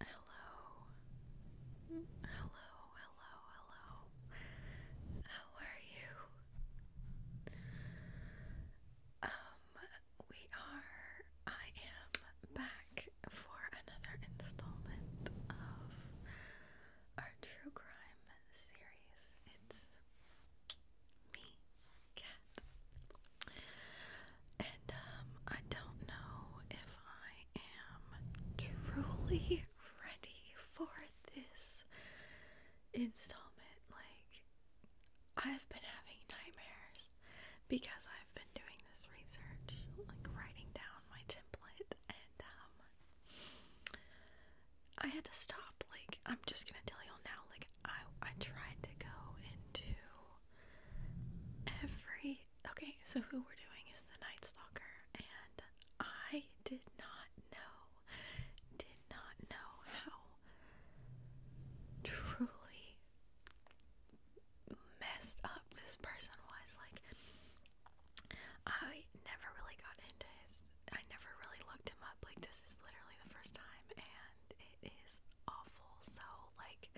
Hello. Hello, hello, hello. How are you? Um, we are, I am back for another installment of our true crime series. It's me, and um, I don't know if I am truly ready for this installment. Like, I've been having nightmares because I've been doing this research, like writing down my template, and um, I had to stop. Like, I'm just gonna tell y'all now. Like, I I tried to go into every okay, so who we're doing is the Night Stalker, and I did not know, did not know how truly messed up this person was. Like, I never really got into his, I never really looked him up. Like, this is literally the first time, and it is awful. So, like,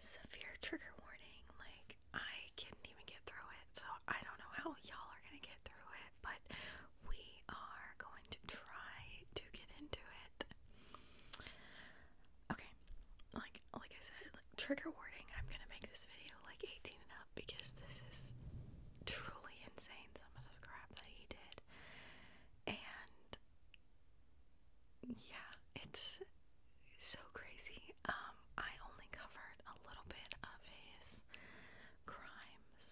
severe trigger warning. Like, I couldn't even get through it. So, I don't know how y'all are gonna get through it, but we are going to try to get into it. Okay, like, like I said, like, trigger warning. I'm gonna make this video like 18 and up because this is truly insane. Some of the crap that he did, and yeah, it's so crazy. Um, I only covered a little bit of his crimes,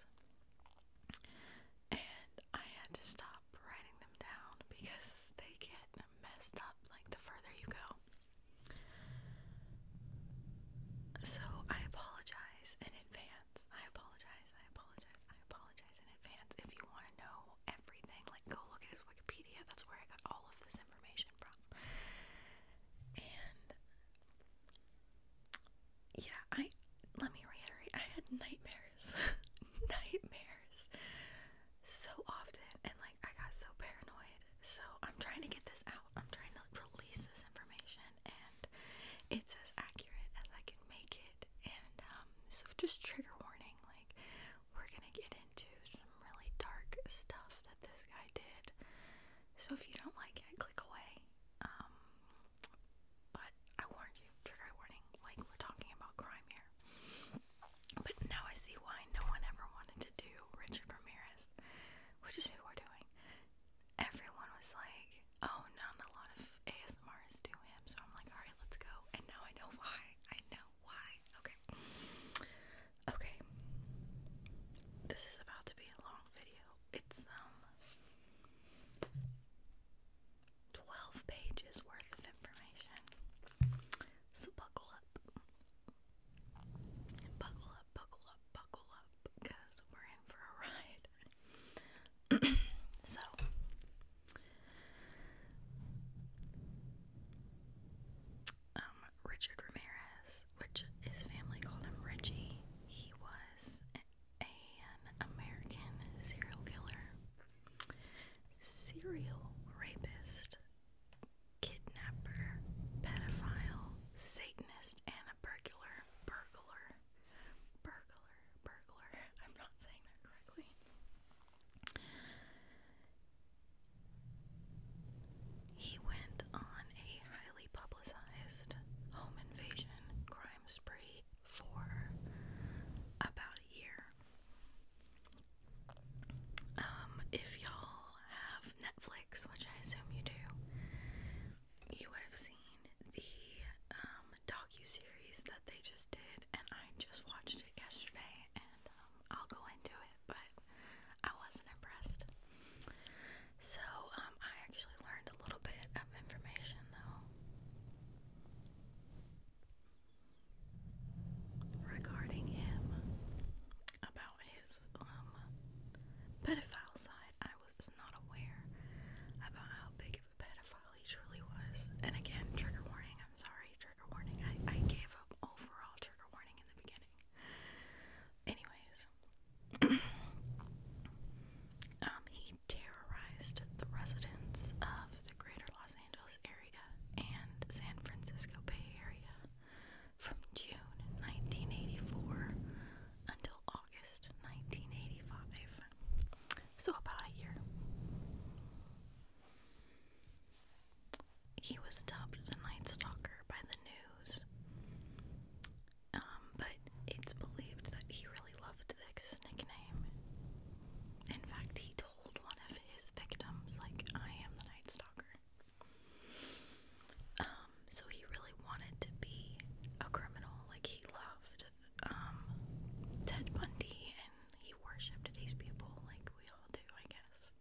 and I had to stop writing them down because they get messed up like the further you go. So I apologize in advance. I apologize. I apologize. I apologize in advance. If you want to know everything, like go look at his Wikipedia. That's where I got all of this information from. And yeah, I let me reiterate, I had nightmares. nightmares so often and like I got so paranoid. So I'm trying to get this out. I'm trying to release this information and it's as accurate as I can make it. And um, so just trigger warning, we're gonna get into some really dark stuff that this guy did. So if you don't like it, click away. Um, but I warned you, trigger warning. Like, we're talking about crime here. But now I see why no one ever wanted to do Richard Ramirez, which is who we're doing. Everyone was like, oh, not a lot of ASMRs do him. So I'm like, alright, let's go. And now I know why. I know why. Okay. Okay. This is about to be a long video. It's um 12 pages worth of information. So buckle up. Buckle up, buckle up, buckle up because we're in for a ride. so, um, Richard Ramirez, which his family called him Richie, he was an American serial killer, serial rapist, kidnapper, pedophile, Satanist, and a burglar. Burglar. Burglar. Burglar. I'm not saying that correctly. He went on a highly publicized home invasion crime spree for about a year. Um, if y'all have Netflix, which I assume you do, you would have seen the um, docu series that they just did and I just watched it yesterday and um, I'll go into it but I wasn't impressed. So um, I actually learned a little bit of information though regarding him about his um, pedophile side. I was not aware about how big of a pedophile he truly was. And again, trigger warning, I'm sorry, warning. I, gave an overall trigger warning in the beginning. Anyways, um, he terrorized the residents of the greater Los Angeles area and San Francisco Bay Area from June 1984 until August 1985. So, about a year he was dubbed the Night Stalker by the news. Um, but it's believed that he really loved this nickname. In fact, he told one of his victims, like, I am the Night Stalker. Um, so he really wanted to be a criminal. Like, he loved um, Ted Bundy he worshipped these people like we all do, I guess.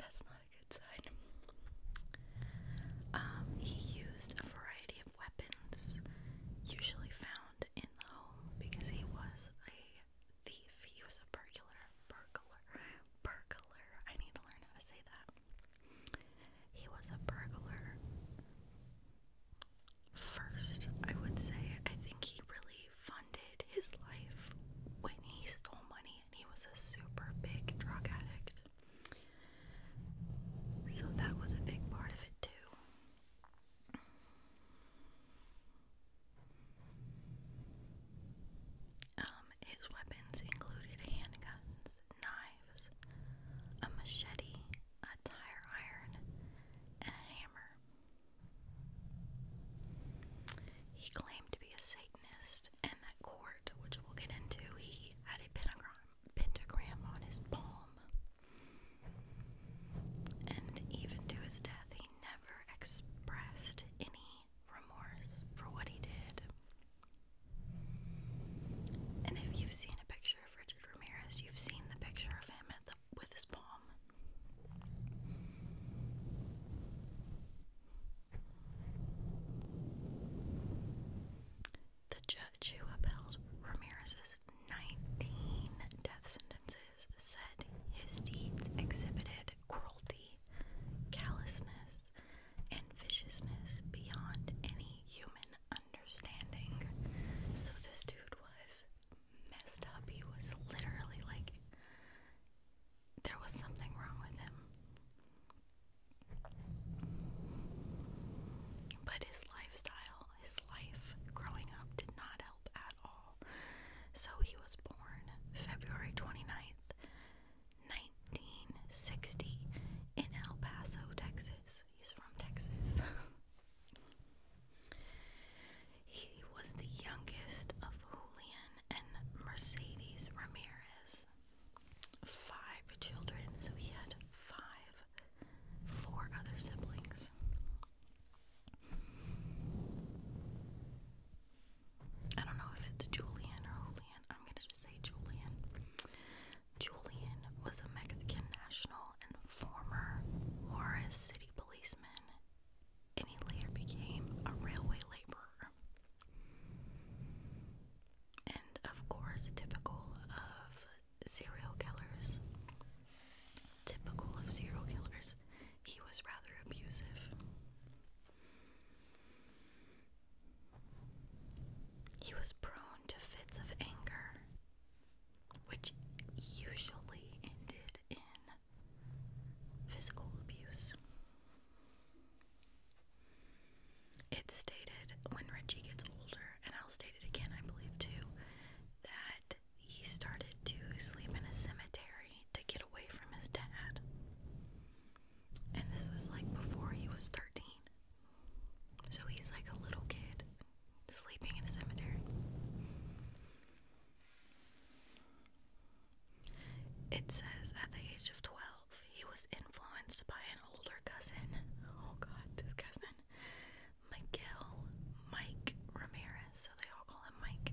That's not a good sign. Um, he used a variety of weapons, usually found in the home, because he was a thief. He was a burglar. Burglar. Burglar. I need to learn how to say that. He was a burglar first, I would say. I think he really funded his life when he stole money and he was a super big drug addict. So that was a big part of it, too. Um, his weapons included handguns, knives, a machete, a tire iron, and a hammer. He claimed to be a Satanist, and at court, which we'll get into, he had a pentagram, pentagram on his palm. And even to his death, he never expressed any remorse for what he did. And if you've seen a picture of Richard Ramirez, you've seen the picture of him at the with his palm. The judge who upheld Ramirez's 19 death sentences said his deeds exhibited cruelty, callousness, and viciousness beyond any human understanding. So this dude was messed up. He was literally like, there was something wrong with him. But his lifestyle, his life growing up did not help at all. So he was born February 29th, 1960, in El Paso, Texas. He's from Texas. He was the youngest of Julian and Mercedes Ramirez. Five children, so he had five, four other siblings. I don't know if it's Julian or Julian. I'm going to just say Julian. Julian was a Mexican national and former Juarez City policeman and later became a railway laborer. And of course, typical of serial killers, typical of serial killers, he was rather abusive. He was prone to fits of anger, which usually ended in physical abuse. It's stated when Richie gets older, and I'll state it again, I believe too, that he started to sleep in a cemetery to get away from his dad. And this was like before he was 13. So he's like a little kid sleeping in a cemetery. It says at the age of 12, he was influenced by an older cousin. Oh god, this cousin. Miguel Mike Ramirez, so they all call him Mike.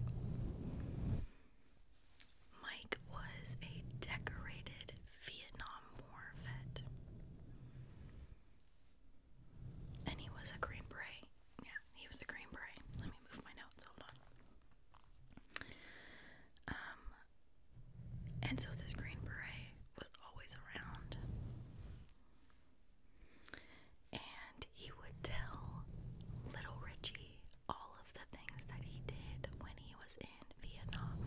Mike was a decorated Vietnam War vet. And he was a Green Beret. Yeah, he was a Green Beret. Let me move my notes. Hold on. Um, and so this Green Beret was always around. And he would tell little Richie all of the things that he did when he was in Vietnam,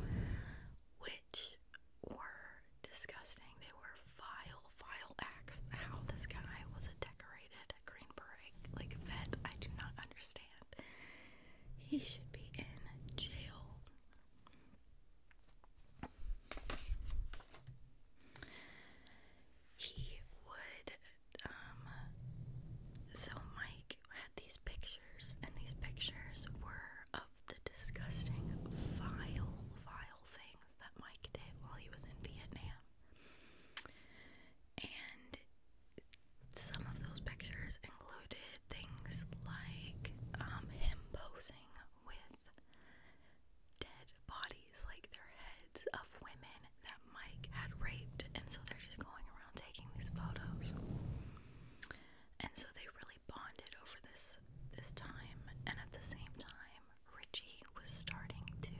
which were disgusting. They were vile, vile acts. How this guy was decorated vet, a Green Beret like vet. I do not understand. He should be in jail. He would um so Mike had these pictures and these pictures were of the disgusting vile vile things that Mike did while he was in Vietnam. And some of those pictures included things like um, him posing with dead bodies, like their heads of women that Mike had raped, and so they're just going around taking these photos. And so they really bonded over this this time, and at the same time, Richie was starting to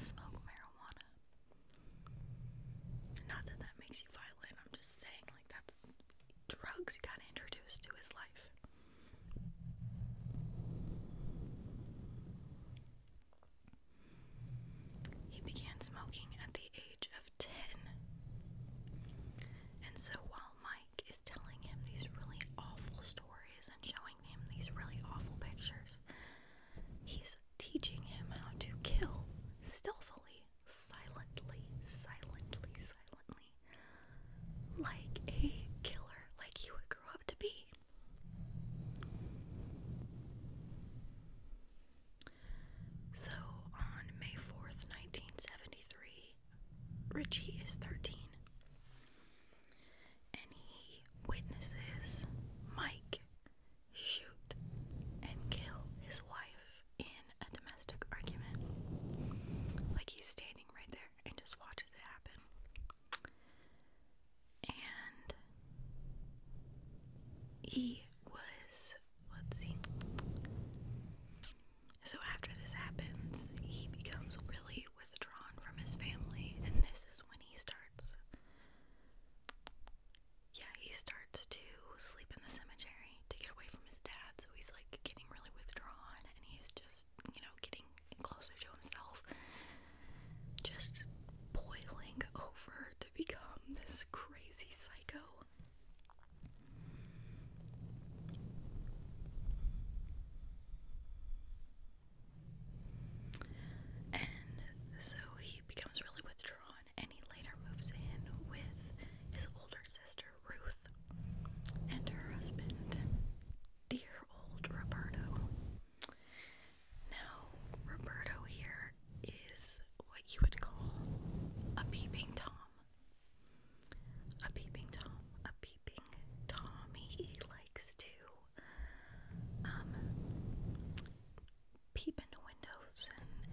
smoke marijuana. Not that that makes you violent, I'm just saying, like, that's drugs got introduced to his life. He began smoking at the age of 10. And so while Mike is telling him these really awful stories, and showing him these really awful pictures. He's teaching him how to kill stealthily, silently, silently, silently, like a killer, like he would grow up to be. So on May 4th, 1973, Richie is 13 and he witnesses Mike shoot and kill his wife in a domestic argument. Like he's standing right there and just watches it happen. And he was, let's see. So after this happens, he becomes really withdrawn from his family, and this is when he starts. Yeah, he starts to sleep in the cemetery to get away from his dad, so he's like getting really withdrawn and he's just, you know, getting closer to himself. Just boiling over to become this crazy psycho. And so he becomes really withdrawn and he later moves in with his older sister Ruth and her husband, dear old Roberto. Now, Roberto here is what you would call a peeping Tom. A peeping Tom, a peeping Tommy. He likes to um, peep into windows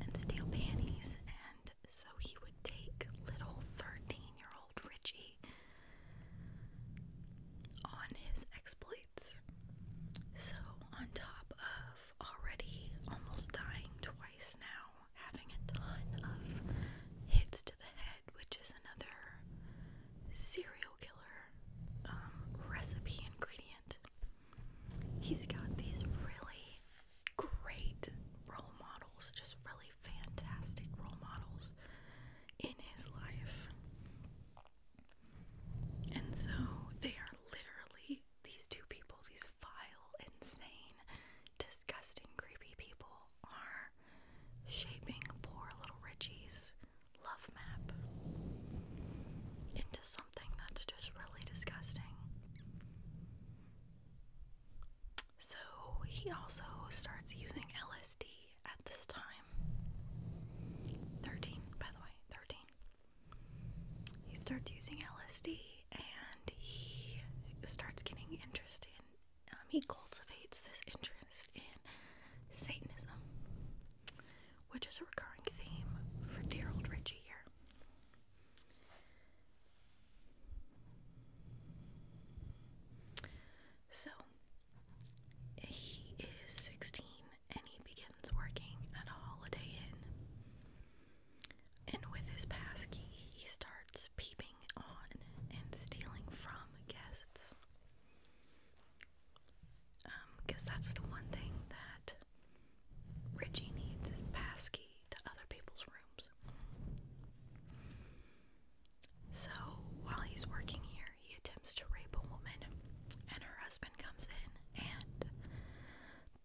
and steal panties. And so he would take little 13 year old Richie on his exploits. So, on top of already almost dying twice now, having a ton of hits to the head, which is another serial killer um, recipe ingredient. He's got these really great role models, just really fantastic role models in his life. And so they are literally these two people, these vile, insane, disgusting, creepy people, are shaping poor little Richie's love map into something that's just really disgusting. So he also starts using LSD at this time. 13, by the way, 13. He starts using LSD and he starts getting interested. Um, he cultivates this interest interest in Satanism, which is a recurring theme for dear old Richie here. So, he is 16 and he begins working at a Holiday Inn. And with his passkey, he starts peeping on and stealing from guests because um, that's the one thing that Richie needs is passkey to other people's rooms. So while he's working here, he attempts to rape a woman, and her husband comes in and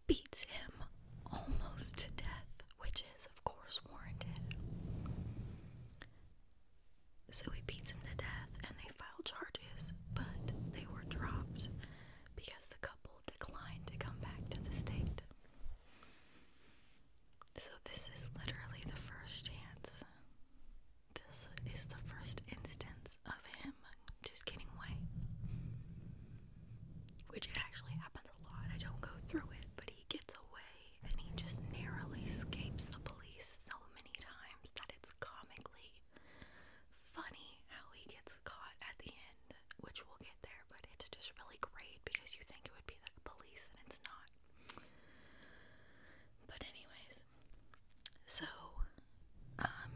beats him almost to death, which is, of course, warranted. So he beats him to death and they file charges, but they were dropped because the couple declined to come back to the state. So, this is literally the first chance. This is the first instance of him just getting away. Which actually happens a lot. I don't go through it, but he gets away and he just narrowly escapes the police so many times that it's comically funny how he gets caught at the end, which we'll get there, but it's just really great because you think it would be the police and it's not. But, anyways, so, um,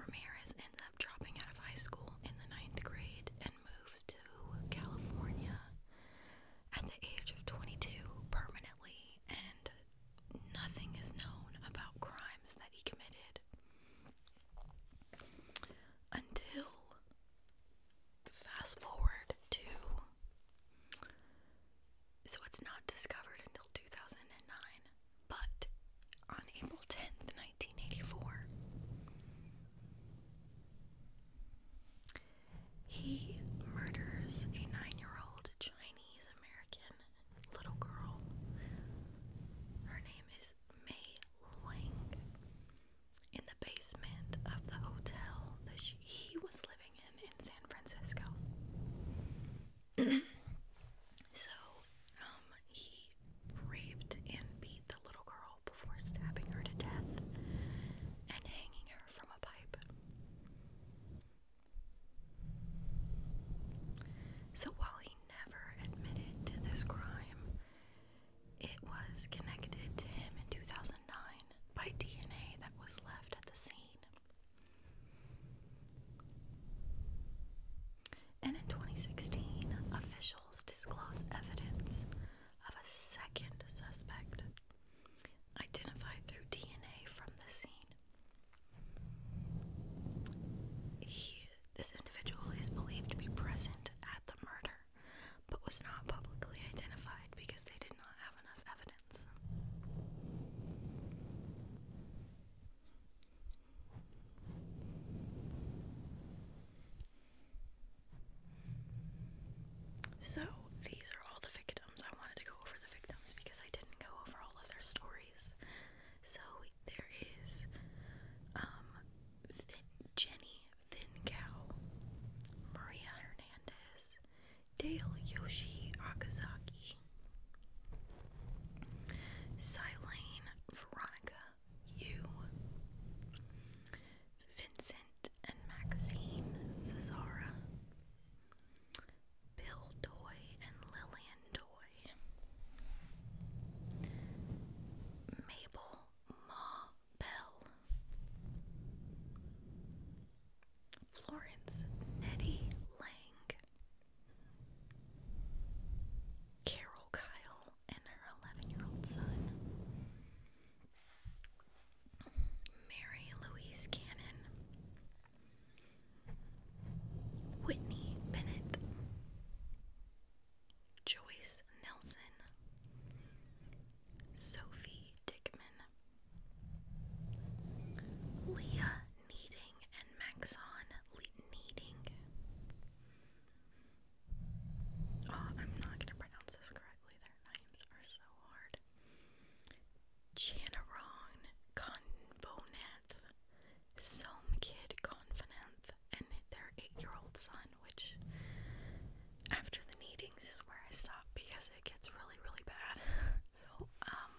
Ramirez ends up dropping out of high school in the ninth grade and moves to California at the age of 22 permanently, and nothing is known about crimes that he committed until fast forward to so it's not discovered until 2009 but on April 10th 1984 he murders a nine year old Chinese American little girl. Her name is Mei Luang. In the basement of the hotel that she, he was living in in San Francisco. so, um, he raped and beat the little girl before stabbing her to death and hanging her from a pipe. So while he never admitted to this crime, it was connected to him in 2009 by DNA that was left at the scene. And in 2016, officials disclose evidence of a second suspect identified through DNA from the scene. He, this individual is believed to be present at the murder, but was not publicly identified because they did not have enough evidence. So, these are all the victims. I wanted to go over the victims because I didn't go over all of their stories. So there is um, Jenny Vincow, Maria Hernandez, Dale Yoshi Akazaki, Silane Veronica Yu, Vincent and Maxine Cesara, Bill Doy and Lillian Doy, Mabel Ma Bell, Florence Nettie Lang, Carol Kyle and her 11 year old son, Mary Louise Cannon, Whitney Bennett, Joyce Nelson, Sophie Dickman, Leah Needing and Maxon Le Needing. Oh, I'm not going to pronounce this correctly. Their names are so hard. Lord. Chanaron some kid Convenanth, and their eight-year-old son, which after the meetings is where I stop because it gets really, really bad. so, um,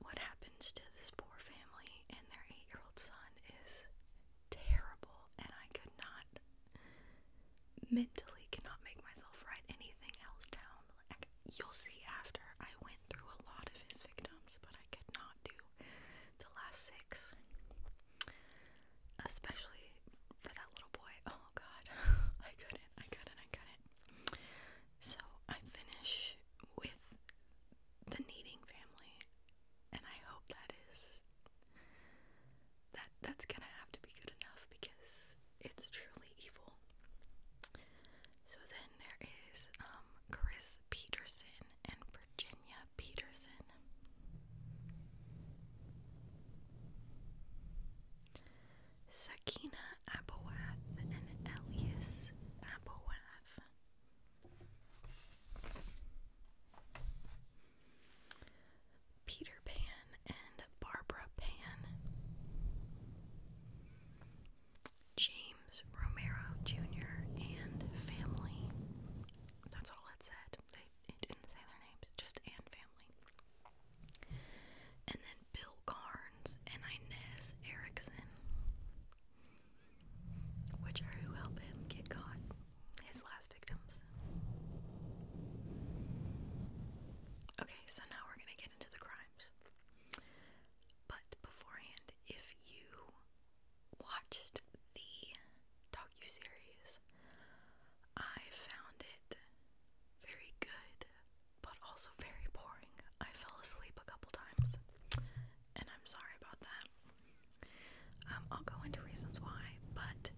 what happens to this poor family and their eight-year-old son is terrible, and I could not mentally cannot make myself write anything else down. you'll see after I went through a lot of his victims, but I could not do the last six. Especially for that little boy. Oh god. I couldn't. I couldn't. I couldn't. So I finish with the needing family and I hope that is that that's gonna have to be good enough because it's truly evil. So then there is um, Chris Peterson and Virginia Peterson. Sakina Abowath and Elias Abowath. Peter Pan and Barbara Pan. James Romero Jr. and family. That's all it said. They didn't say their names, just and family. And then Bill Carnes and Inez Erickson, which are who helped him get caught, his last victims. Okay, so now we're going to get into the crimes. But beforehand, if you watched the docuseries, I found it very good, but also very boring. I fell asleep a couple times, and I'm sorry about that. Um, I'll go into reasons why, but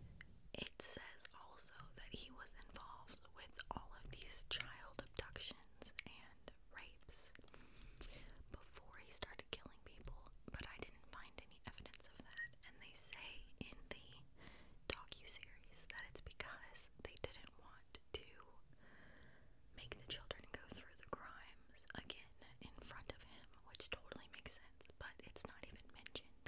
it says also that he was involved with all of these child abductions and rapes before he started killing people, but I didn't find any evidence of that. And they say in the docu-series that it's because they didn't want to make the children go through the crimes again in front of him, which totally makes sense, but it's not even mentioned.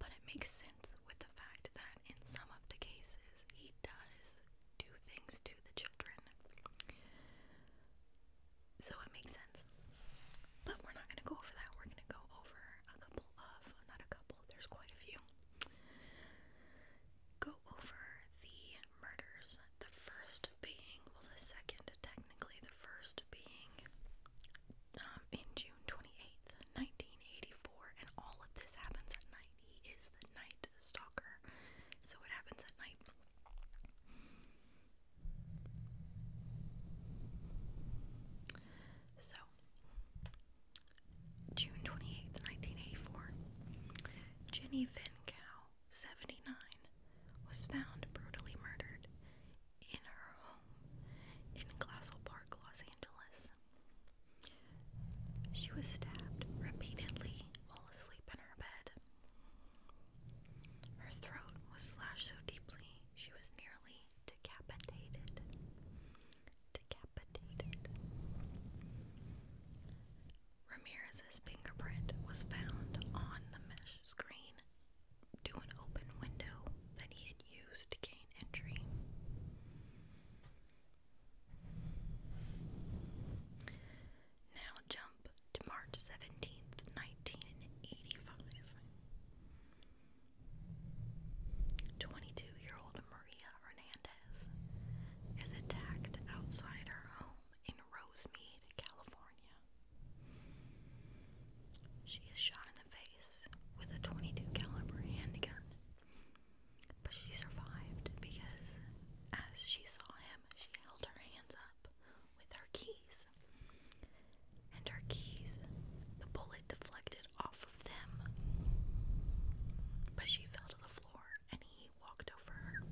But it makes sense consistence with the fact that in some of the cases he does do things to the children. So it makes sense. But we're not going to go over that. We're going to go over a couple of, not a couple, there's quite a few. Go over the murders. The first being, well, the second, technically, the first being um, in June 28th, 1984, and all of this happens at night. He is the night stalker, so it happens at night. So, June 28th, 1984, Jenny Van Cow, 79, was found brutally murdered in her home in Glassell Park, Los Angeles. She was stabbed repeatedly while asleep in her bed. Her throat was slashed so deeply she was nearly decapitated. Decapitated. Ramirez's fingerprint was found on the mesh screen to an open window that he had used to entry. Now jump to March 17th, 1985. 22 year old Maria Hernandez is attacked outside her home in Rosemead, California. She is shot in the with a 22 caliber handgun. But she survived because as she saw him, she held her hands up with her keys. And her keys, the bullet deflected off of them. But she fell to the floor and he walked over her.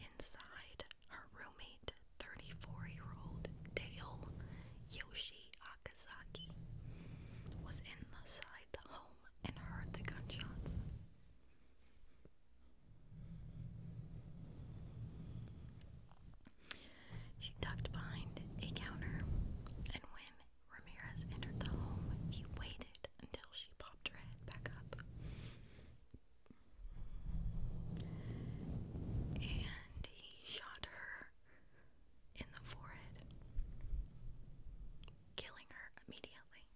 Inside her roommate, 34 year old Dale Yoshi Akazaki, was inside the home and heard the gunshots. She ducked behind a counter, and when Ramirez entered the home, he waited until she popped her head back up and he shot her in the forehead, killing her immediately.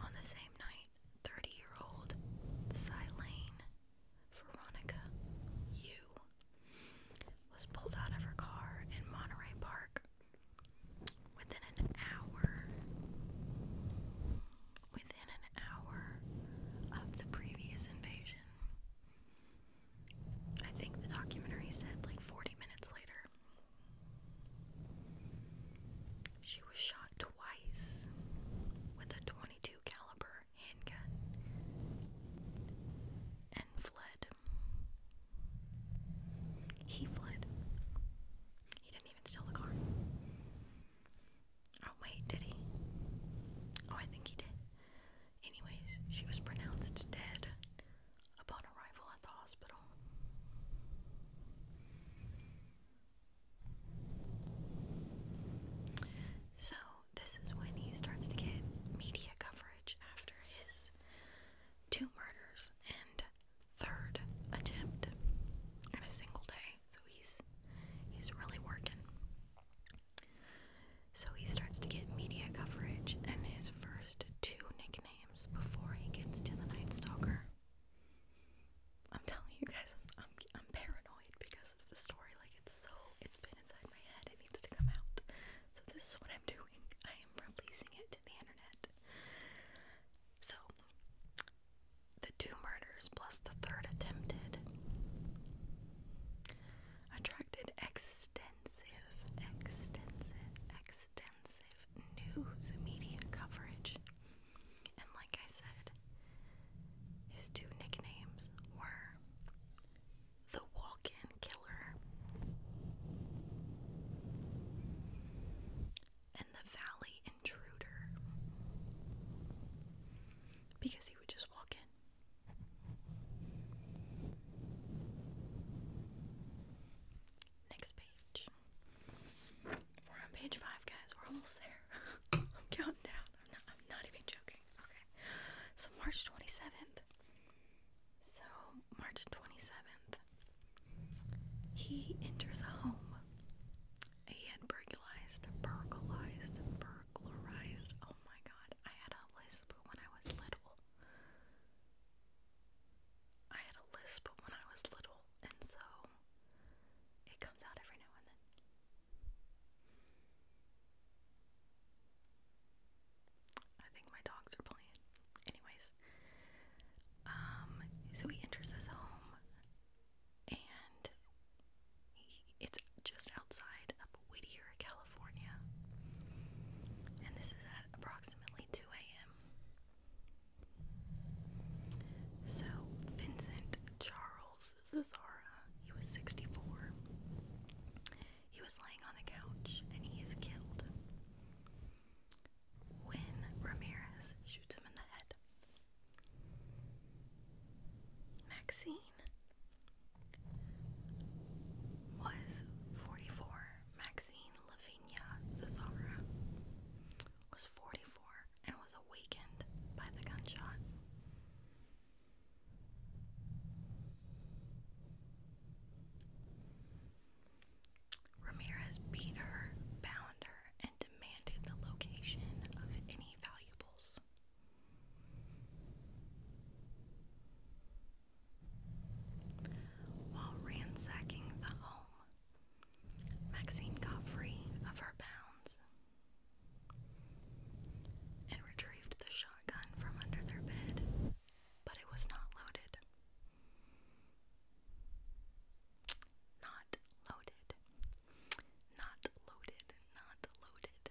On the same night, 30 year old Silene Veronica Yu was pulled out of her car in Monterey Park Within an hour, within an hour of the previous invasion. I think the documentary said like 40 minutes later. She was shot twice with a 22 caliber handgun and fled. He fled. He didn't even steal the car. Oh, wait, did he? Oh, I think he did. Anyways, she was pronounced dead upon arrival at the hospital. So, this is when he starts to get media coverage after his two murders, and third attempt in a single day. So he's he's really working. So he starts to get media coverage and his first two nicknames before he gets to the Night Stalker. I'm telling you guys, I'm, I'm I'm paranoid because of the story. Like it's so it's been inside my head. It needs to come out. So this is what I'm doing. I am releasing it to the internet. So the two murders plus the third attempted attracted extensive, extensive, extensive news media coverage. And like I said, his two nicknames were the Walk In Killer. And the Valley Intruder. Because he would just walk in. Next page. We're on page five, guys. We're almost there. I'm counting down. I'm not, even joking. Okay. So, March 27th. So, March 27th, he enters a home. He burglarized, burglarized, burglarized. Oh my god, I had a lisp when I was little. I had a lisp when I was little, and so it comes out every now and then. I think my dogs are playing. Anyways, um, so he enters his home and it's just outside of Whittier, California. And this is at approximately 2 a.m. So Vincent Charles Zazara, he was 64. He was laying on the couch and he is killed when Ramirez shoots him in the head. Maxine was 44. Maxine Lavinia Cesara was 44 and was awakened by the gunshot. Ramirez beat her, bound her, and demanded the location of any valuables. While ransacking the home, Maxine got free of her bounds and retrieved the shotgun from under their bed but it was not loaded. Not loaded. Not loaded. Not loaded.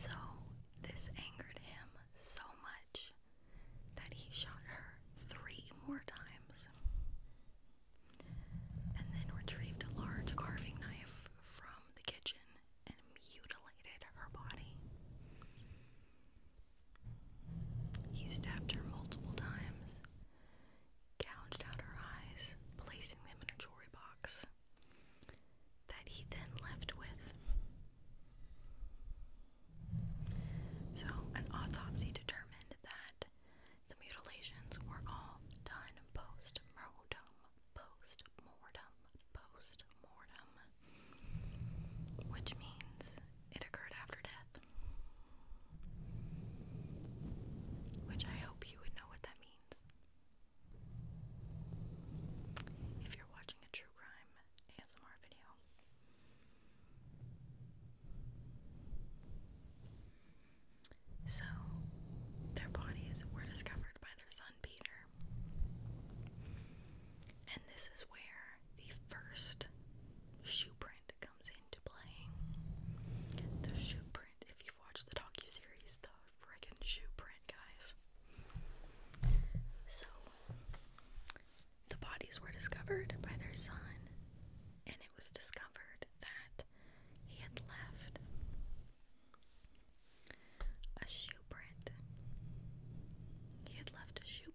So this angered him so much that he shot her three more times and then retrieved a large carving knife from the kitchen and mutilated her body. He stabbed her multiple times, gouged out her eyes, placing them in a jewelry box that he then left with. So, an autopsy determined that the mutilations were all done post mortem, post mortem, post mortem which means it occurred after death. Which I hope you would know what that means. If you're watching a true crime ASMR video, so their bodies were discovered by their son Peter and this is where the first shoe comes into play. The shoe if you've watched the docu-series, the frickin' shoe guys. So, the bodies were discovered by their son, and it was discovered that he had left a shoe print. He had left a shoe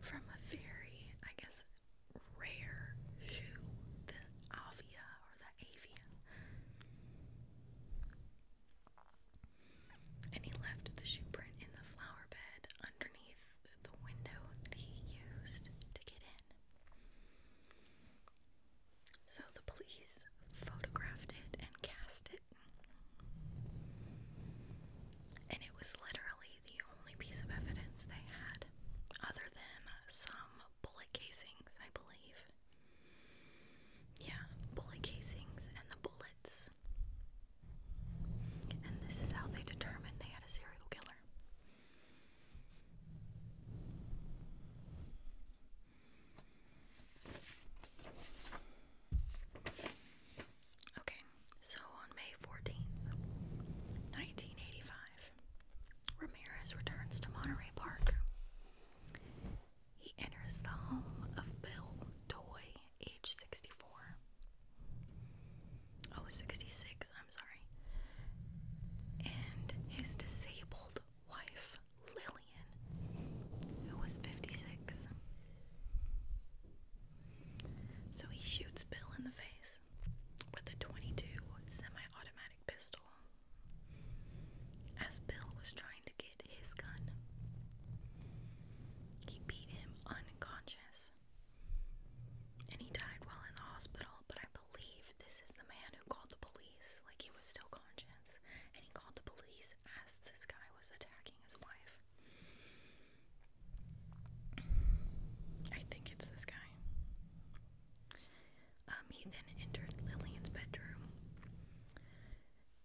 from a very, I guess, rare shoe, the Avia or the Avia. And he left the shoe in the flower bed underneath the window that he used to get in. So the police photographed it and cast it. And it was literally the only piece of evidence they had, other than some bullet casings, I believe. Yeah, bullet casings and the bullets. And this is how they determined they had a serial killer. Okay, so on May 14th, 1985, Ramirez returns to Monterey Park. He enters the home of Bill Toy, age 64. Oh, 66, I'm sorry. And his disabled wife, Lillian, who was 56. So he shoots Bill in the face with a 22 semi-automatic pistol. As Bill was trying to get his gun, he beat him unconscious. And he died while in the hospital, but I believe this is the man who called the police like he was still conscious, and he called the police as this guy was attacking his wife. I think it's this guy. Um, he then entered Lillian's bedroom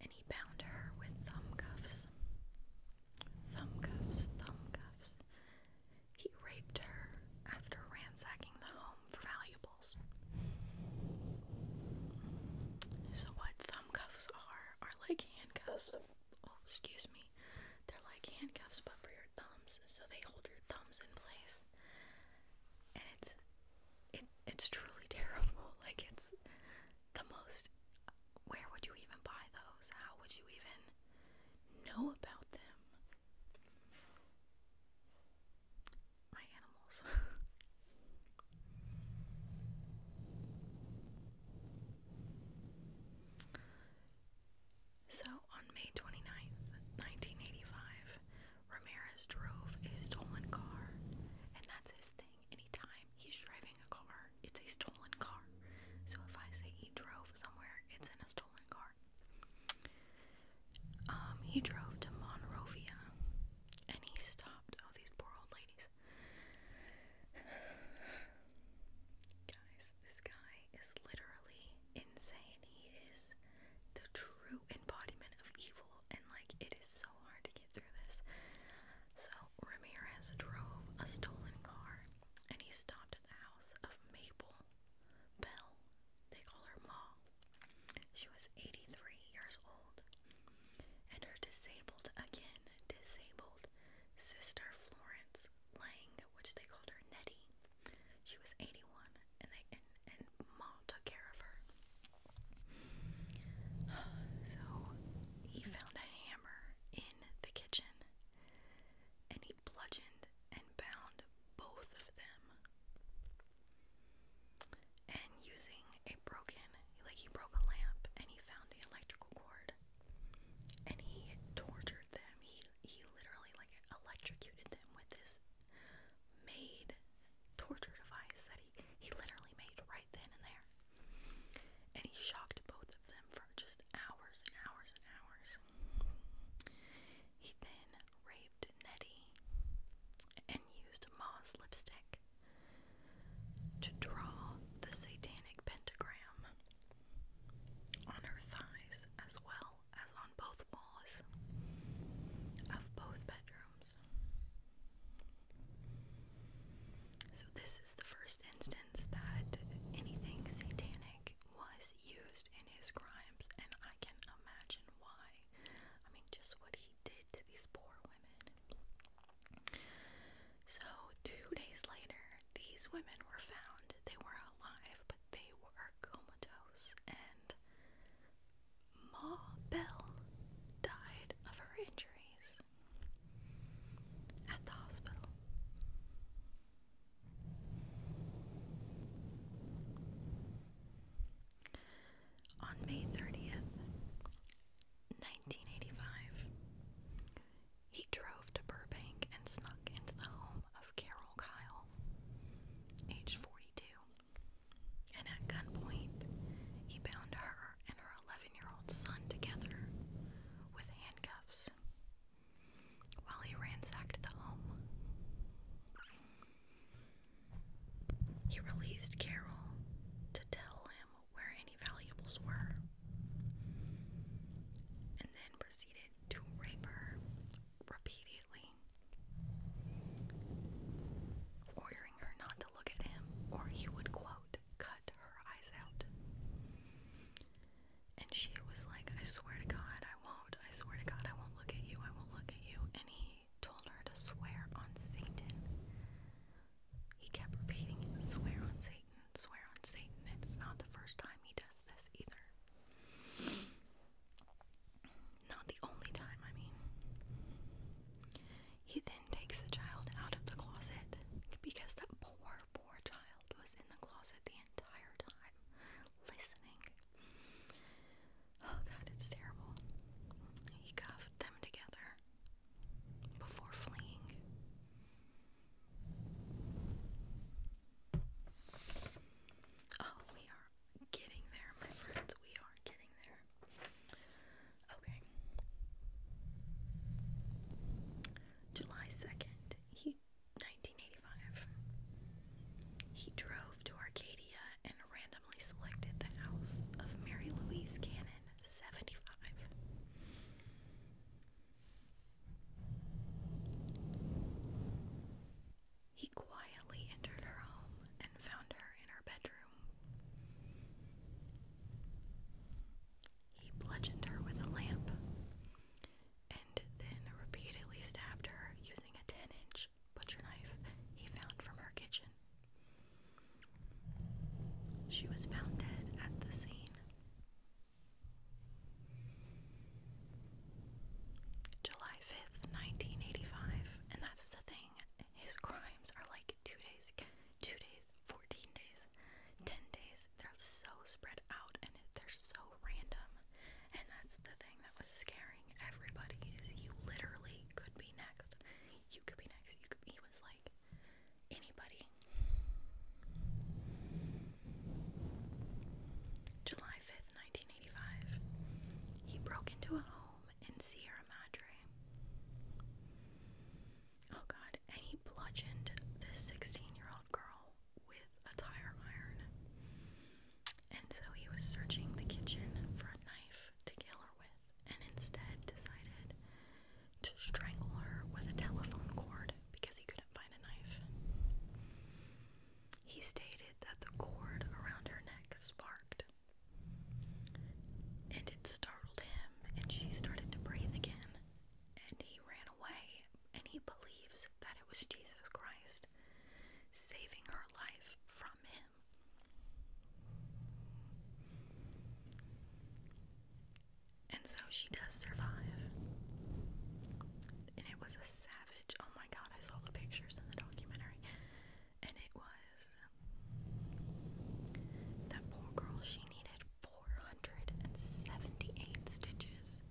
and he bound her with thumb cuffs. Thumb cuffs, thumb cuffs. He raped her after ransacking the home for valuables. So what thumb cuffs are are like handcuffs. Oh, excuse me. They're like handcuffs but for your thumbs. So they hold your thumbs in place. And it's it it's truly terrible. Like it's the most where would you even buy those? How would you even know about them? my animals. so on May 29th, 1985, Ramirez drove a stolen car, and that's his thing. Anytime he's driving a car, it's a stolen car. So if I say he drove somewhere, it's in a stolen car. Um, he drove to Monrovia and he stopped Oh, these poor old ladies. Guys, this guy is literally insane. He is the true embodiment of evil, and like it is so hard to get through this. So, Ramirez drove a stolen car and he stopped at the house of Maple Bell. They call her Ma she was 83 years old, and her disabled, again disabled, sister Florence Lang, which they called her Nettie, she was 81, and they and, Ma took care of her. So he found a hammer in the kitchen, and he bludgeoned and bound both of them and using a broken like he broke a lamp and he found the electrical cord and he tortured them he he literally like electrocuted them with this made torture device that he he literally made right then and there and he shocked both of them for just hours and hours and hours he then raped Nettie and used Ma's lipstick to draw the satanic pentagram on her thighs as well as on both walls of both bedrooms. So, this is the first instance that anything satanic was used in his crimes, and I can imagine why. I mean, just what he did to these poor women. So, two days later, these women were found. They were alive, but they were comatose, and Ma Bell died of her injuries at the hospital on May 30th, 1985. He drove to Burbank and snuck into the home of Carol Kyle, age 42, and at gunpoint, he bound her and her 11 year old son together with handcuffs while he ransacked the home. He released Carol to tell him where any valuables were, and then proceeded to rape her repeatedly, ordering her not to look at him, or he would, quote, cut her eyes out. And she was like, I swear to God, I won't. I swear to God, I won't look at you. I won't look at you. And he he told her to swear on Satan. He kept repeating, swear on Satan, swear on Satan. It's not the first time he does this either. Not the only time, I mean. He then takes the child out of the closet because that poor, poor child was in the closet the entire time listening. Oh god, it's terrible. He cuffed them together before fleeing. Oh, we are getting there, my friends. We are getting there. Okay. July 2nd, he 1985. He drove to Arcadia and ran up randomly selected the house of Mary Louise Cannon, 75. He quietly entered her home and found her in her bedroom. He bludgeoned her with a lamp and then repeatedly stabbed her using a 10 inch butcher knife he found from her kitchen. She was found dead at the scene. July 5th, 1985, and that's the thing. His crimes are like two days, two days, 14 days, 10 days. They're so spread out and they're so random. And that's the thing that was scaring everybody is you literally could be next you could be next. he was like, anybody. July 5th, 1985, he broke into a home in Sierra Madre. Oh god, and he bludgeoned this 16 year old girl with a tire iron. And so he was searching the kitchen for a knife to kill her with and instead decided to strangle her with a telephone cord because he couldn't find a knife. He stated that the cord around her neck sparked, and it startled him, and she started to breathe again, and he ran away, and he believes that it was Jesus Christ saving her life from him. And so she does survive. And it was a savage. Oh my god, I saw the pictures in the documentary. And it was. That poor girl, she needed 478 stitches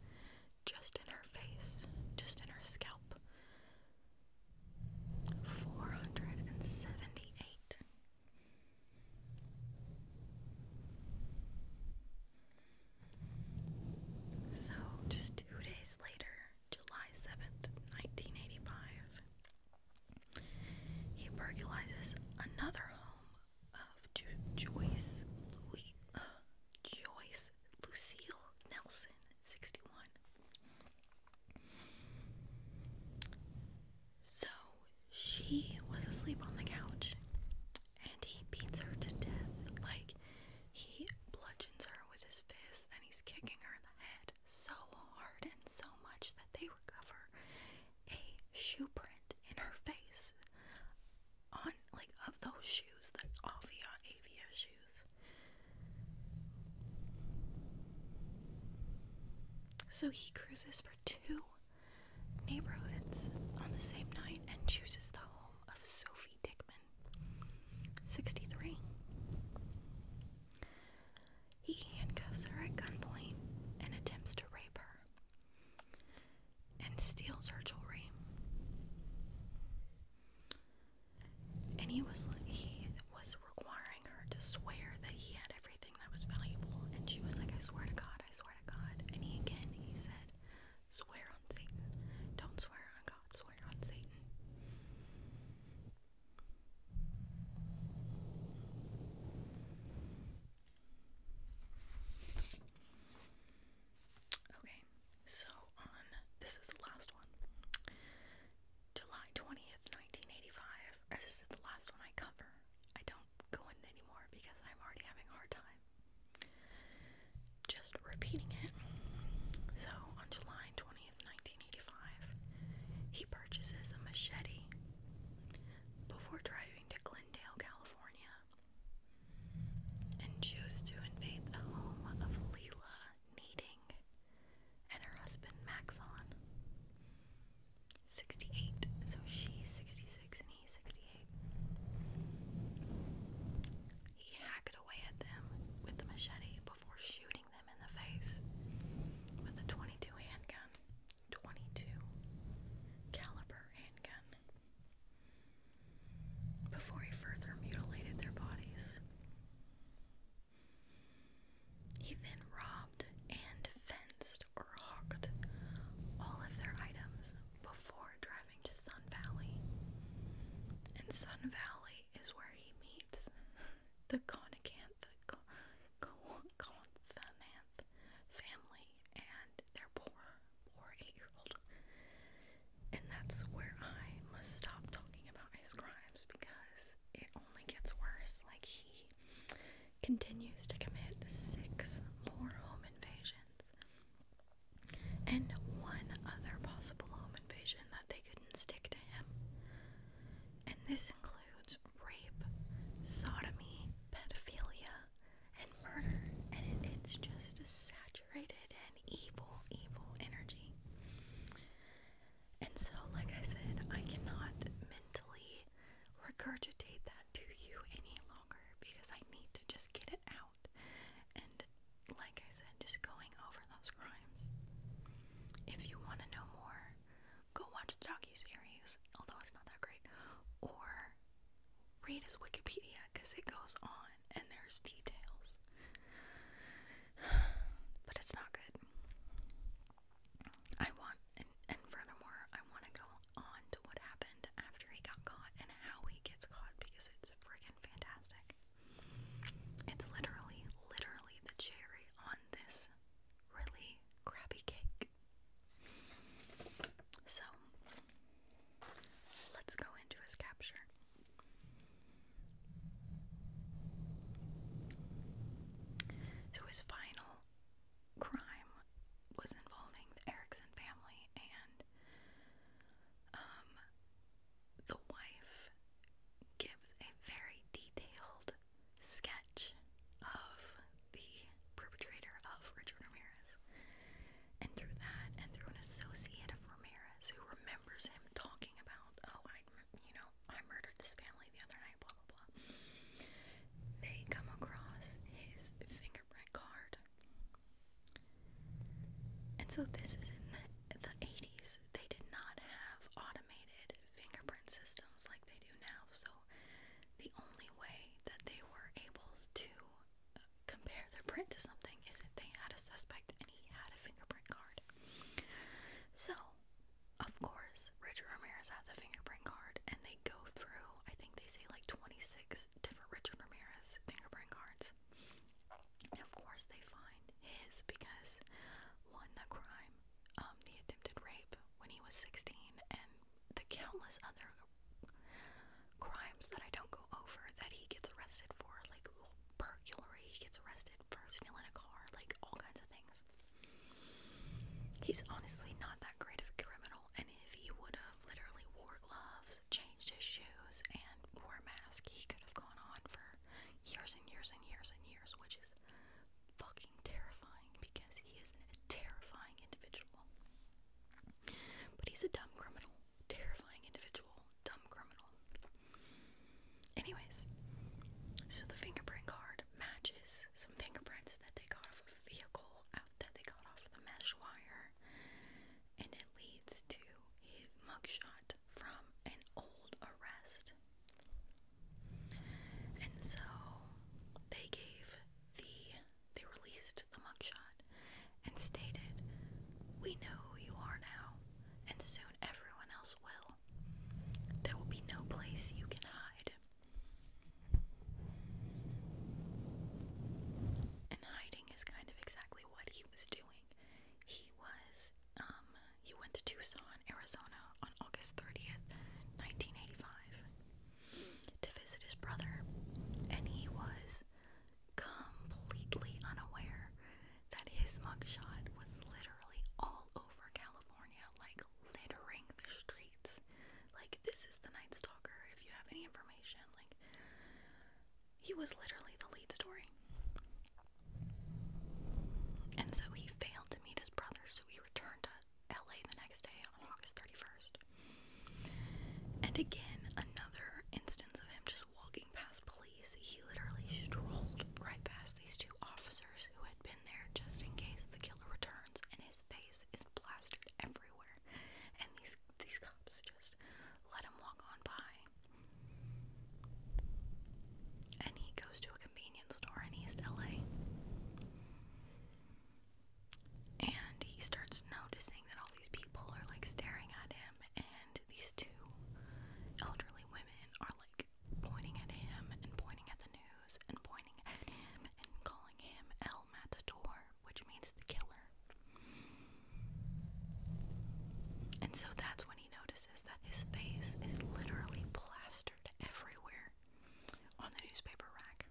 just in her face, just in her scalp four hundred and seventy eight. So, just two days later, July 7th, 1985, he burglarizes another home of Joyce, Louis, uh, Joyce Lucille Nelson, 61. So she was asleep on the couch and he beats her to death. Like, he bludgeons her with his fists and he's kicking her in the head so hard and so much that they recover a shoe print in her face on, like, of those shoes, that Avia Avia shoes. So he cruises for two neighborhoods on the same night and chooses the home of Sophie Dickman, 63. He handcuffs her at gunpoint and attempts to rape her and steals her jewelry. And he was he was requiring her to swear that he had everything that was valuable, and she was like, I swear to God, I swear to God. And he again, he said, Swear on Satan. Don't swear on God, swear on Satan. Okay, so on this is the last one. July 20th, 1985. This is the last one I cover. I don't go in anymore because I'm already having a hard time just repeating it. So, on July 20th, 1985, he purchases a machete before driving to Glendale, California, and chooses to invade the home of Lila Needing and her husband Maxon. 68, so she's 66 and he's 68. He hacked away at them with the machete before shooting them in the face with a 22 handgun, 22 caliber handgun. Before he further mutilated their bodies. He then robbed and fenced or hawked all of their items before driving to Sun Valley. And Sun Valley is where he meets the Conacanth family and their poor, poor eight year old. And that's where I must stop talking about his crimes because it only gets worse. Like, he continues to commit six more home invasions and one other possible home invasion that they couldn't stick to him. And this includes rape, sodomy, pedophilia, and murder. And it's just a saturated and evil, evil energy. And so, like I said, I cannot mentally regurgitate that to you any longer because I need to just get it out. And like I said, just going over those crimes. If you want to know more, go watch the docu-series, although it's not that great, or read his Wikipedia because it goes on and there's details. But it's not good. I want, and, furthermore, I want to go on to what happened after he got caught and how he gets caught because it's friggin' fantastic. It's literally, literally the cherry on this really crappy cake. So, let's go into his capture. So, his final original crime was involving the Erickson family and um the wife gives a very detailed sketch of the perpetrator of Richard Ramirez. And through that and through an associate of Ramirez who remembers him talking about, oh, I'd you know, I murdered this family the other night, blah, blah, blah. They come across his fingerprint card. And so this is in the, the 80s. They did not have automated fingerprint systems like they do now. So the only way that they were able to uh, compare their print to something is if they had a suspect and he had a fingerprint card. So of course, Richard Ramirez has a fingerprint card, and they go through, I think they say like 26 different Richard Ramirez fingerprint cards. of course, they find his because one, the crime, um, the attempted rape when he was 16, and the countless other crimes that I don't go over that he gets arrested for, like burglary, he gets arrested for stealing a car, like all kinds of things. He's honestly not that great of a criminal, and if he would have literally wore gloves, changed his shoes, and wore a mask, he could have gone on for years and years and years and years, which is fucking terrifying because he is a terrifying individual. But he's a dumb criminal. Terrifying individual. Dumb criminal. Anyways, so the fingerprint card matches some fingerprints that they got off a vehicle out that they got off the mesh wire, and it leads to his mugshot from an old arrest. And so they gave the they released the mugshot and stated, "We know who you are now, and soon everyone else will. There will be no place you can hide." And hiding is kind of exactly what he was doing. He was, um, he went to Tucson, Arizona on August 30th, 1985, to visit his brother, and he was completely unaware that his mugshot was literally all over California. Like, littering the streets. Like, this is the Night Stalker, if you have any information. Like, he was literally the lead story. And so he failed to meet his brother, so he returned to LA the next day on August 31st. And again, another instance of him just walking past police. He literally strolled right past these two officers who had been there just in case the killer returns, and his face is plastered everywhere. And these these cops just let him walk on by. And he goes to a convenience store in East LA. And he starts noticing that all these people are like staring at him, and these two elderly women are like pointing at him and pointing at the news and pointing at him and calling him El Matador, which means the killer. And so that's when he notices that his face is literally plastered everywhere on the newspaper rack.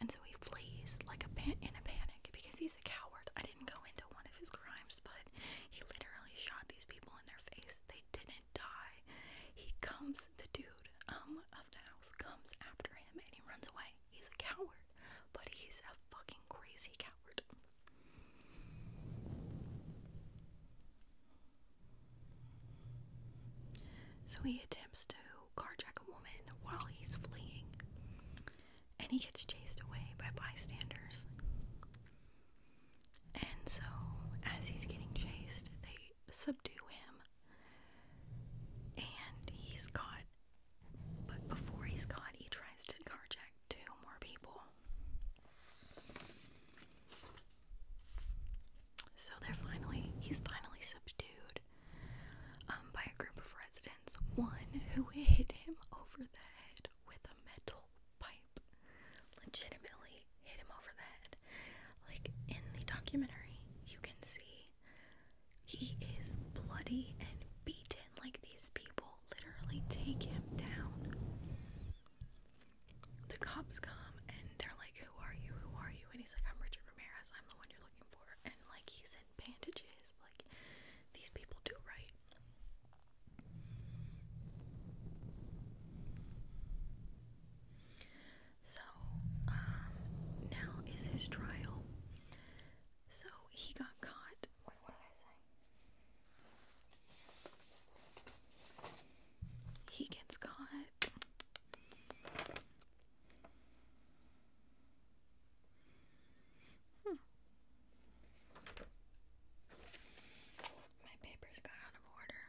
And so he flees like a pan in a panic because he's a coward. I didn't go into one of his crimes, but he literally shot these people in their face. They didn't die. He comes, the dude um of the house comes after him and he runs away. He's a coward, but he's a fucking crazy coward. So he attempts to carjack a woman while he's fleeing, and he gets chased away by bystanders. And so, as he's getting chased, they subdue him. And he's caught. But before he's caught, he tries to carjack two more people. So they're finally, he's finally subdued um, by a group of residents. One who hit him over the head with a metal pipe. Legitimately hit him over the head. Like in the documentary, you can see he is bloody and beaten. Like these people literally take him down. The cops come and they're like, Who are you? Who are you? And he's like, I'm Richard Ramirez. I'm the one you're looking for. And like, he's in bandages. Like, these people do right. So, um, now is his trial. So he got caught. what did I say? He gets caught. Hmm. My papers got out of order.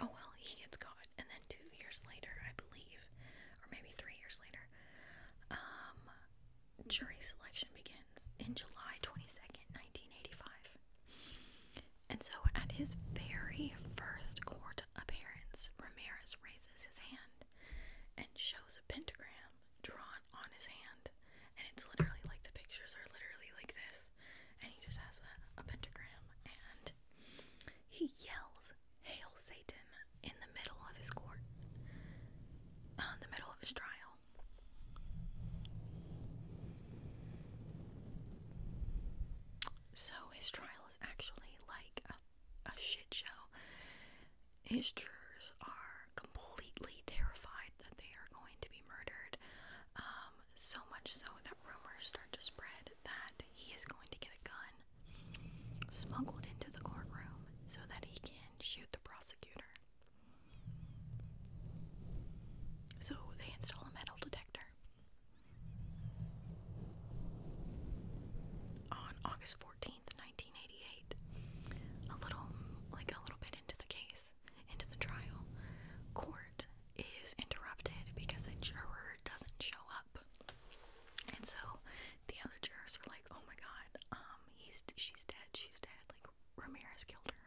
Oh well, he gets caught, and then two years later, I believe, or maybe three years later, um, jury selection begins in July 22nd, 1985. And so, at his very first court appearance, Ramirez raises his hand and shows a pentagram drawn on his hand, and it's literally like the pictures are literally like this, and he just has a, pentagram, and he yells, "Hail Satan!" in the middle of his court, in uh, the middle of his trial. So his trial is actually like a shit show. His jurors are completely terrified that they are going to be murdered. Um, so much so that rumors start to spread that he is going to get a gun smuggled into the courtroom so that he can shoot the prosecutor. So they install a metal detector. On August 14th, 1988, a little like a little bit into the case, into the trial, court is interrupted because a juror doesn't show up. And so the other jurors are like, "Oh my god, um he's she's dead, she's dead. Like Ramirez killed her."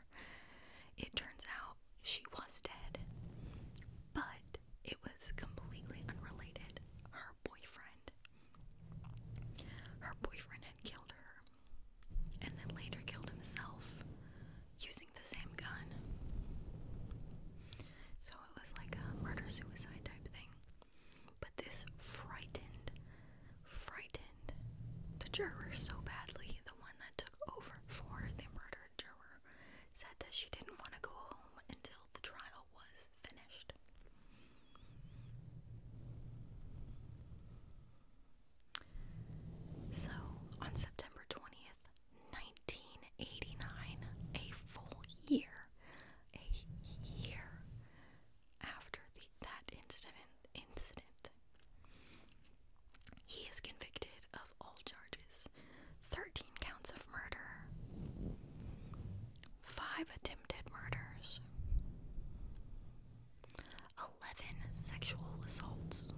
It turns out she was dead. But it was completely unrelated. Her boyfriend her boyfriend had killed her and then later killed himself using the same gun. So it was like a murder suicide type thing. But this frightened, frightened the juror so badly. The one that took over for the murdered juror said that she didn't want to go home until the trial was finished. So, on September 20th, 1989, a full year, a year after the, that incident, incident, he is convicted of all charges 13 counts of murder, 5 attempted murders, 11 sexual assaults,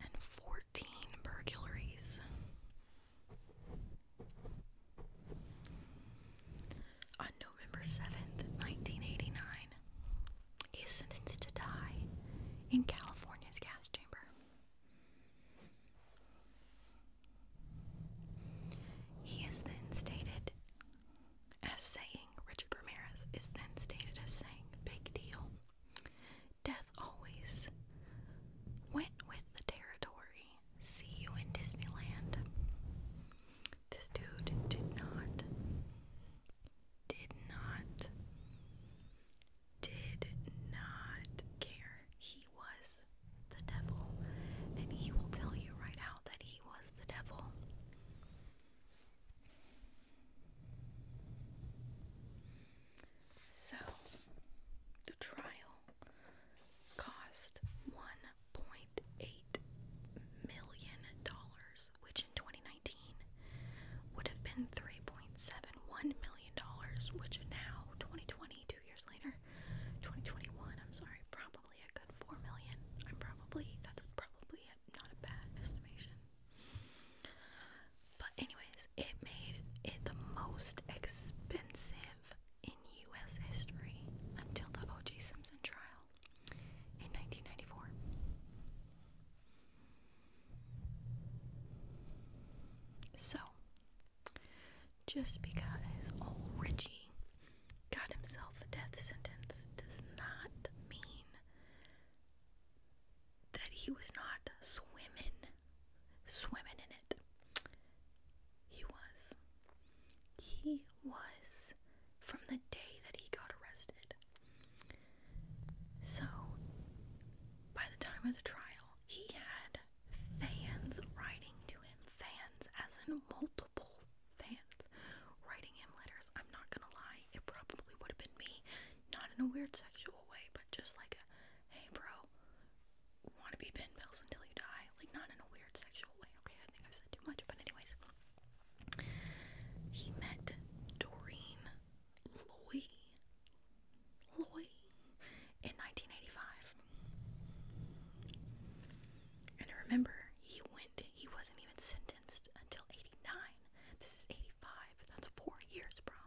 and 14 burglaries. On November 7th, 1989, he is sentenced to die in California's gas chamber. He is then stated as saying, Richard Ramirez is then stated as saying, big deal. Death always went with the territory. See you in Disneyland. This dude did not, did not, did not care. He was the devil, and he will tell you right now that he was the devil. So the trial cost one point eight million dollars, which in twenty nineteen would have been three point seven one million dollars, which now twenty twenty, two years later, twenty twenty one, I'm sorry, probably a good four million. I'm probably that's probably not a bad estimation. But anyways, it made it the most expensive in U.S. history until the O.J. Simpson trial in 1994. So, just because old oh, Richie got himself a death sentence does not mean that he was not swimming, swimming in it. He was. He was from the day that he got arrested. So, by the time of the trial, he had fans writing to him, fans as in multiple fans writing him letters. I'm not gonna lie, it probably would have been me, not in a weird sexual way, but just like hey, bro, wanna be pen pals until you die, like not in a weird sexual way. Okay, I think i said too much, but anyways, he met Doreen Loy. Loy in 1985. And remember he went, he wasn't even sentenced until 89. This is 85. That's four years, bro.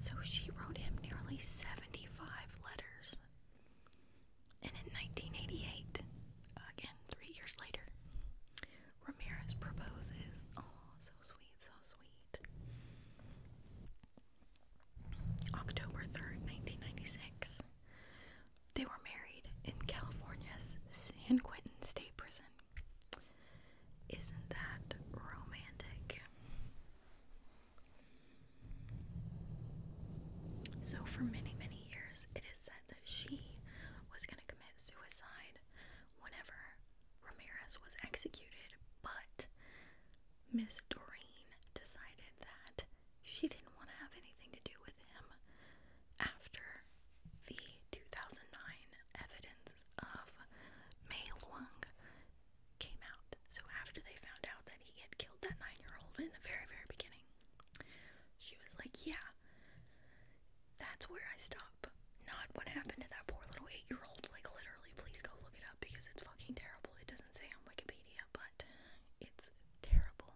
So she wrote him nearly 75 letters. And in 1988, again, three years later, Ramirez proposes. Oh, so sweet, so sweet. October 3rd, 1996. They were married in California's San Quentin State Prison. Isn't that romantic? So, for many, many years, it is said that she was going to commit suicide whenever Ramirez was executed, but Miss Doreen decided that she didn't want to have anything to do with him after the 2009 evidence of Mei Long came out. So, after they found out that he had killed that nine year old in the very, very beginning, she was like, Yeah, that's where I stop. Not what happened to that poor little eight year old. Like, literally, please go look it up because it's fucking terrible. It doesn't say on Wikipedia, but it's terrible.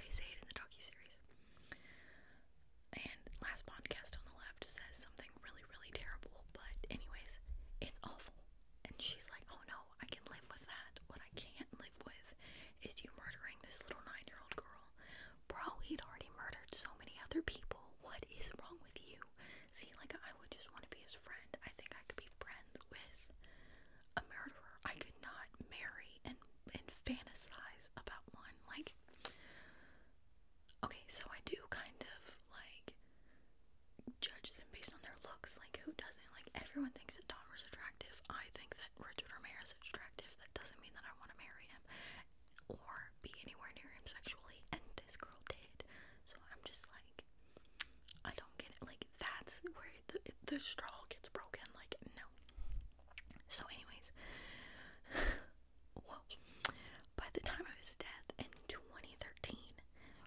They say it in the docu series. And last podcast on the left says something really, really terrible, but, anyways, it's awful. And she's like, oh no, I can live with that. What I can't live with is you murdering this little nine year old girl. Bro, he'd already murdered so many other people. What is wrong with you? See, like, I would just want to be his friend. I think I could be friends with a murderer. I could not marry and and fantasize about one. Like okay, so I do kind of like judge them based on their looks. Like who doesn't? Like everyone thinks that is attractive. I think that Richard Ramirez is attractive. That doesn't mean that I want to marry him or be anywhere near him sexually. And this girl did. So I'm just like I don't get it. Like that's weird the, straw gets broken. Like, no. So, anyways, well, by the time of his death in 2013,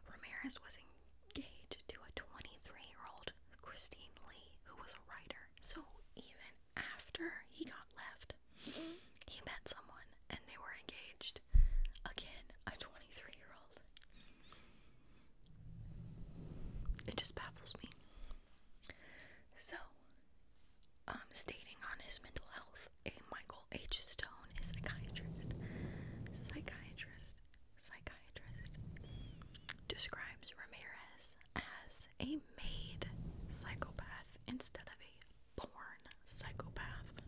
Ramirez was engaged to a 23 year old Christine Lee, who was a writer. So, even after he got left, he met someone and they were engaged. Again, a 23 year old. It just baffles me. So, stating on his mental health, a Michael H. Stone, a psychiatrist, psychiatrist, psychiatrist, describes Ramirez as a made psychopath instead of a born psychopath.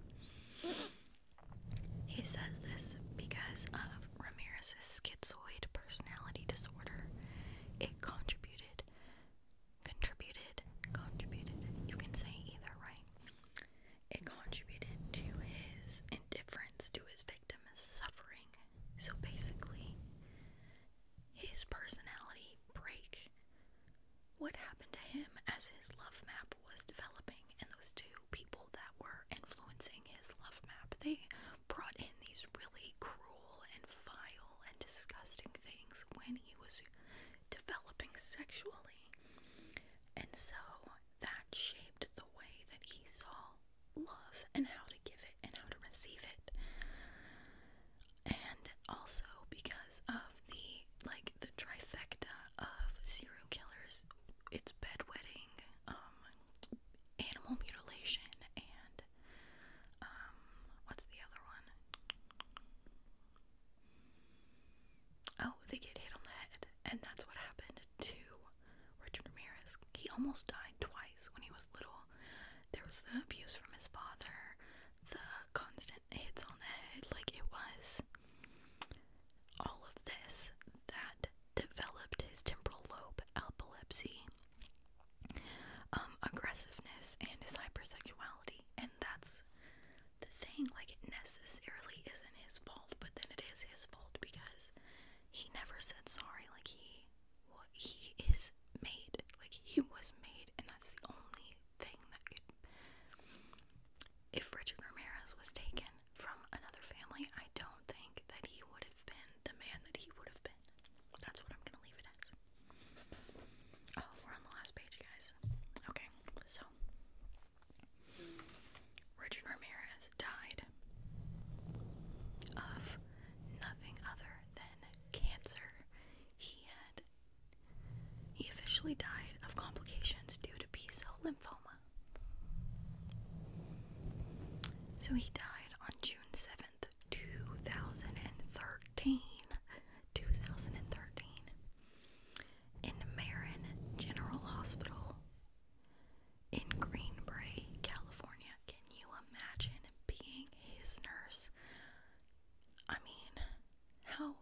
He says this because of Ramirez's schizophrenia schizoid personality disorder. It contributed, contributed, contributed. You can say either, right? It contributed to his indifference to his victim's suffering. So basically, his personality break. What happened to him as his love map was developing, and those two people that were influencing his love map, they brought in these really cruel and vile and disgusting things when he was developing sexually. And so that shaped the way that he saw love and how to give it and how to receive it. And also because of the like the trifecta of serial killers, it's bedwetting, um, animal mutilation and um what's the other one? Oh, they get hit on the head, and that's what happened to Richard Ramirez. He almost died twice when he was little. There was the abuse from his father, the constant hits on the head, like it was all of this that developed his temporal lobe epilepsy. Um, aggressiveness and his hypersexuality. And that's the thing, like, it necessarily isn't his fault, but then it is his fault because he never said sorry. Like, he, he is made. Like, he was made, and that's the only thing that could. If Richard Ramirez was taken from another family, I don't think that he would have been the man that he would have that's what I'm gonna leave it as. Oh, we're on the last page, guys. Okay, so Richard Ramirez died of nothing other than cancer. He had he officially died of complications due to B cell lymphoma. So he died on June 7th 10th, 2013. 2013. In Marin General Hospital in Greenbrae, California. Can you imagine being his nurse? I mean, how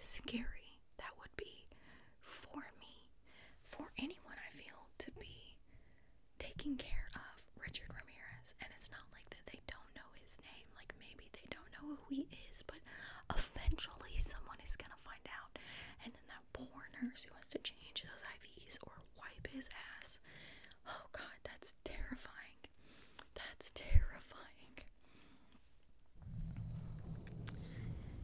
scary that would be for me, for anyone I feel to be taking care of Richard Ramirez, and it's not like that they don't know his name. Like maybe they don't know who he is, but eventually someone is gonna find out. And then that poor nurse who has to change those IVs or wipe his ass. Oh God, that's terrifying. That's terrifying.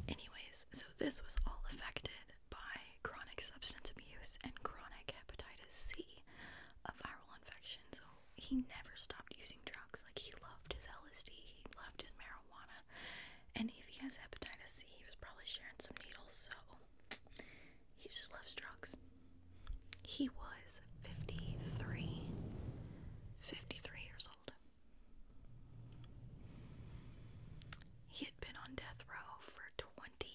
Anyways, so this was all affected by chronic substance abuse and chronic hepatitis C, a viral infection. So he never stopped using drugs. Like he loved his LSD, he loved his marijuana, and if he has hepatitis C, he was probably sharing some needles. So he just loves drugs. He was 53, years old. He had been on death row for 23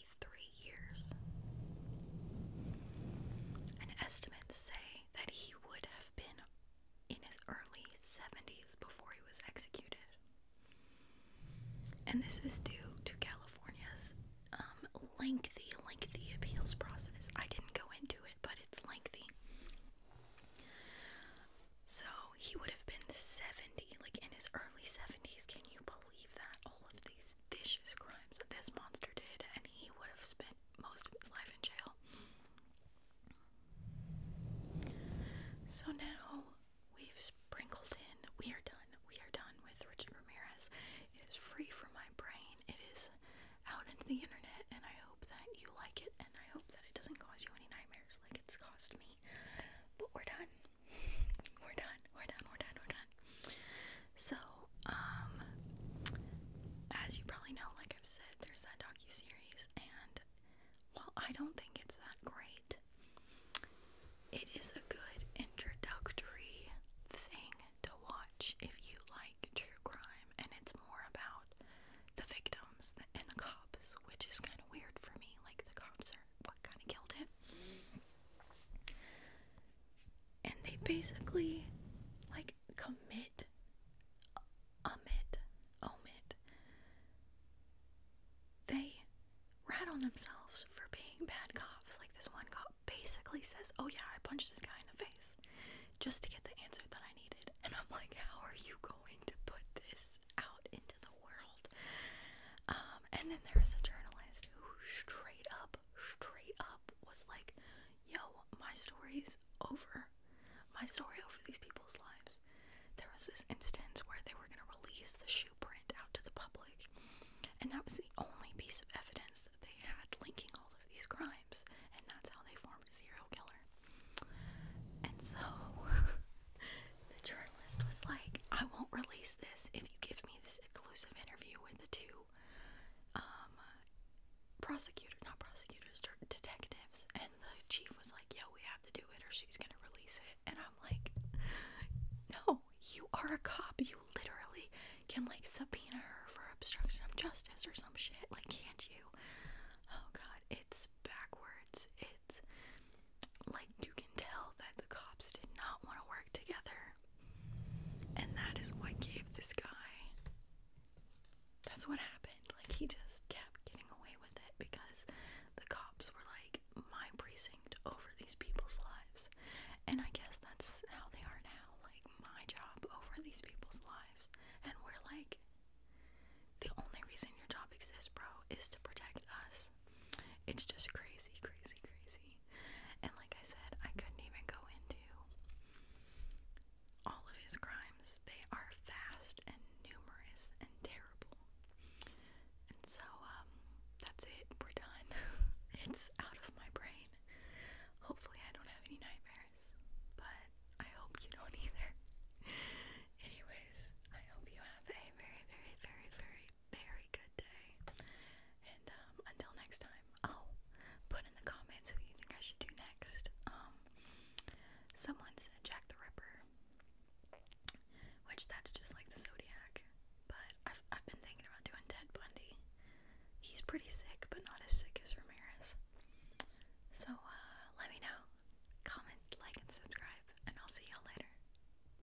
years. And estimates say that he would have been in his early 70s before he was executed. And this is due to California's um, lengthy, lengthy appeals process. I didn't go into it, but it's lengthy. So he would have been 70, like in his early 70s. Can you believe? believe that all of these vicious crimes that this monster did, and he would have spent most of his life in jail. So now we've sprinkled in, we are done, we are done with Richard Ramirez. It is free from my brain, it is out into the internet, and I hope that you like it, and I hope that it doesn't cause you any nightmares like it's caused me. But we're done. We're done. We're done. We're done. We're done. So, um, as you probably know, like I've said, there's that docu series, and well, I don't think it's that great, it is a good introductory thing to watch if you like true crime, and it's more about the victims and the cops, which is kind of weird for me. Like the cops are what kind of killed him. And they basically like commit, omit, omit. They rat on themselves for being bad cops. Like this one cop basically says, "Oh yeah, I punched this guy in the face," just to get the answer that I needed. And I'm like, "How are you going to put this out into the?" world. Um, and then there was a journalist who straight up, straight up was like, yo, my story's over. My story over these people's lives. There was this instance where they were going to release the shoe print out to the public, and that was the only piece of evidence that they had linking all of these crimes, and that's how they formed a serial killer. And so, the journalist was like, I won't release this if you give me this exclusive interview with the two um, prosecutor, not prosecutors, detectives. And the chief was like, Yo, we have to do it or she's going to release it. And I'm like, No, you are a cop. You literally can like subpoena her for obstruction of justice or some shit. Like, can't you? Oh god, it's backwards. It's like you can tell that the cops did not want to work together. And that is what gave this guy that's what happened. Like he just kept getting away with it because the cops were like my precinct over these people's lives. And I guess that's how they are now. Like my job over these people's lives. And we're like the only reason your job exists, bro, is to protect us. It's just crazy, crazy, crazy. And like I said, I couldn't even go into all of his crimes. They are vast and numerous and terrible. And so, um, that's it. We're done. it's out of my brain. Hopefully, I don't have any nightmares, but I hope you don't either. Anyways, I hope you have a very, very, very, very very good day. And um, until next time, oh, put in the comments who you think I should do next. Um, someone said Jack the Ripper, which that's just like the Zodiac. But I've I've been thinking about doing Ted Bundy. He's pretty sick, but not as sick as Ramirez. So uh, let me know. Comment, like, and subscribe, and I'll see y'all later.